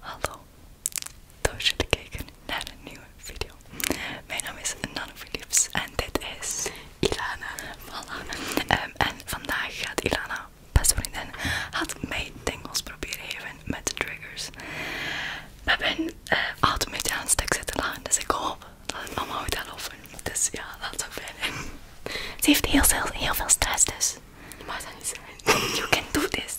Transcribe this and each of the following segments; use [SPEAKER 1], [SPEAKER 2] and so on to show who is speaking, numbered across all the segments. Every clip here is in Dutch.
[SPEAKER 1] Hallo, tof dat jullie kijken naar een nieuwe video. Mijn naam is Nano Philips en dit is Ilana. Voilà. Ehm, en vandaag gaat Ilana, beste vriendin, had mij dingels proberen geven met de triggers. We hebben eh, altijd een beetje aan het stuk zitten lachen, dus ik hoop dat mama allemaal goed gaat Dus ja, laat zoveel. Ze heeft heel veel, heel veel stress dus. Je mag You can do this.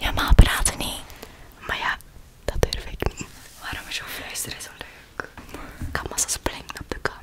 [SPEAKER 1] Ja, maar praten niet. Maar ja, dat durf ik niet. Waarom is jouw fluisteren zo leuk? kan maar zo springen op de camera.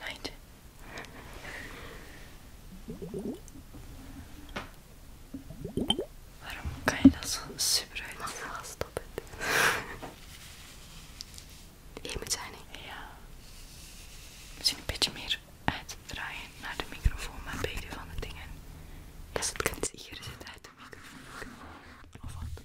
[SPEAKER 1] Eindje. Waarom kan je dat zo super uit? Ik stop het. Hier moet zijn, Ja. Misschien een beetje meer uitdraaien naar de microfoon, maar beide van de dingen. Dat is het kunst. Hier zit uit de microfoon. Of wat?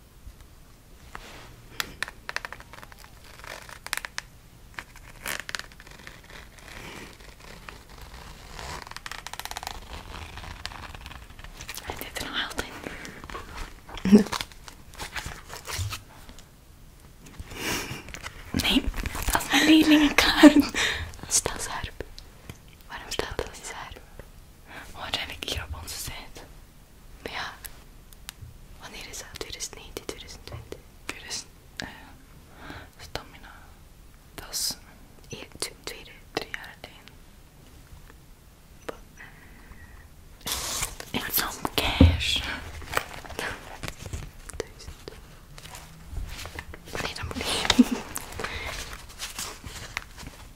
[SPEAKER 1] Hij zit er nog altijd in. Nee, dat is mijn leerlingenkaart. Stasarp. Waarom staat dat scherp? Wat heb I hier op onze site? Maar ja, wanneer is dat? 2019, 2020? 2000, eh, stamina. Dat is e twee, drie jaar alleen. Ik had zo'n cash.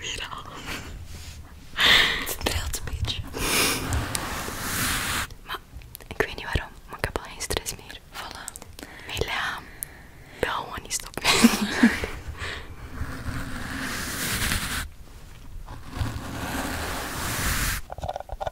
[SPEAKER 1] Weer al. Het trilt een beetje. Maar ik weet niet waarom, maar ik heb al geen stress meer. Voilà. Mijn bel wil gewoon niet stoppen.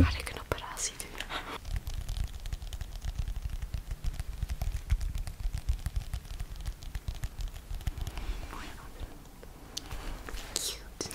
[SPEAKER 1] Ga ik een operatie doen? Mooi Cute.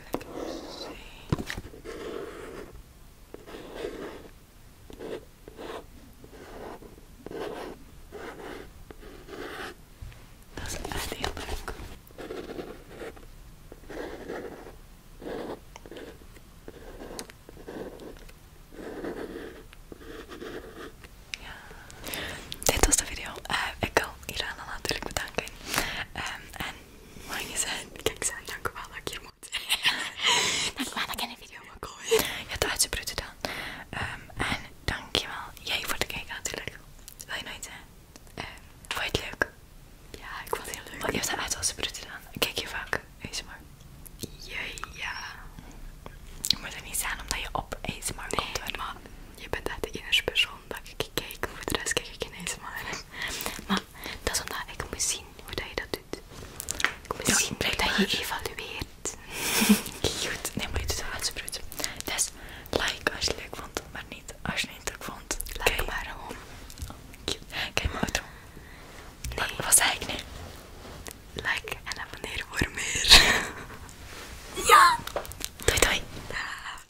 [SPEAKER 1] Dat is Ja. Dit was de video. Eh, ik wil Irana natuurlijk bedanken. Ehm, maar je zei, kijk zijn, dankjewel dat ik hier moet. dankjewel dat ik in de video mag komen. Je hebt uitgebroed dan. Um, ehm, en dankjewel jij voor de kijken natuurlijk. Wil je nooit zijn? Uh, ehm, vond je het leuk? Ja, ik vond het heel leuk. Want je hebt dat uitgebroed dan. Kijk je vaak, ASMR? Ja, ja. Je moet er niet zijn omdat je op ASMR nee, komt. maar je bent echt de eerste persoon dat ik kijk. Voor de rest kijk ik geen ASMR. Maar dat is omdat ik moet zien hoe dat je dat doet. Ik moet zien hoe dat je evalueert. Goed, nee, maar je doet het wel goed. Dus like als je het leuk vond, maar niet als je het niet leuk vond. Like Kijk. maar om. Kijk, Kijk maar. Nee. Wat zei ik nu? Like en abonneer voor meer. ja! Doei doei!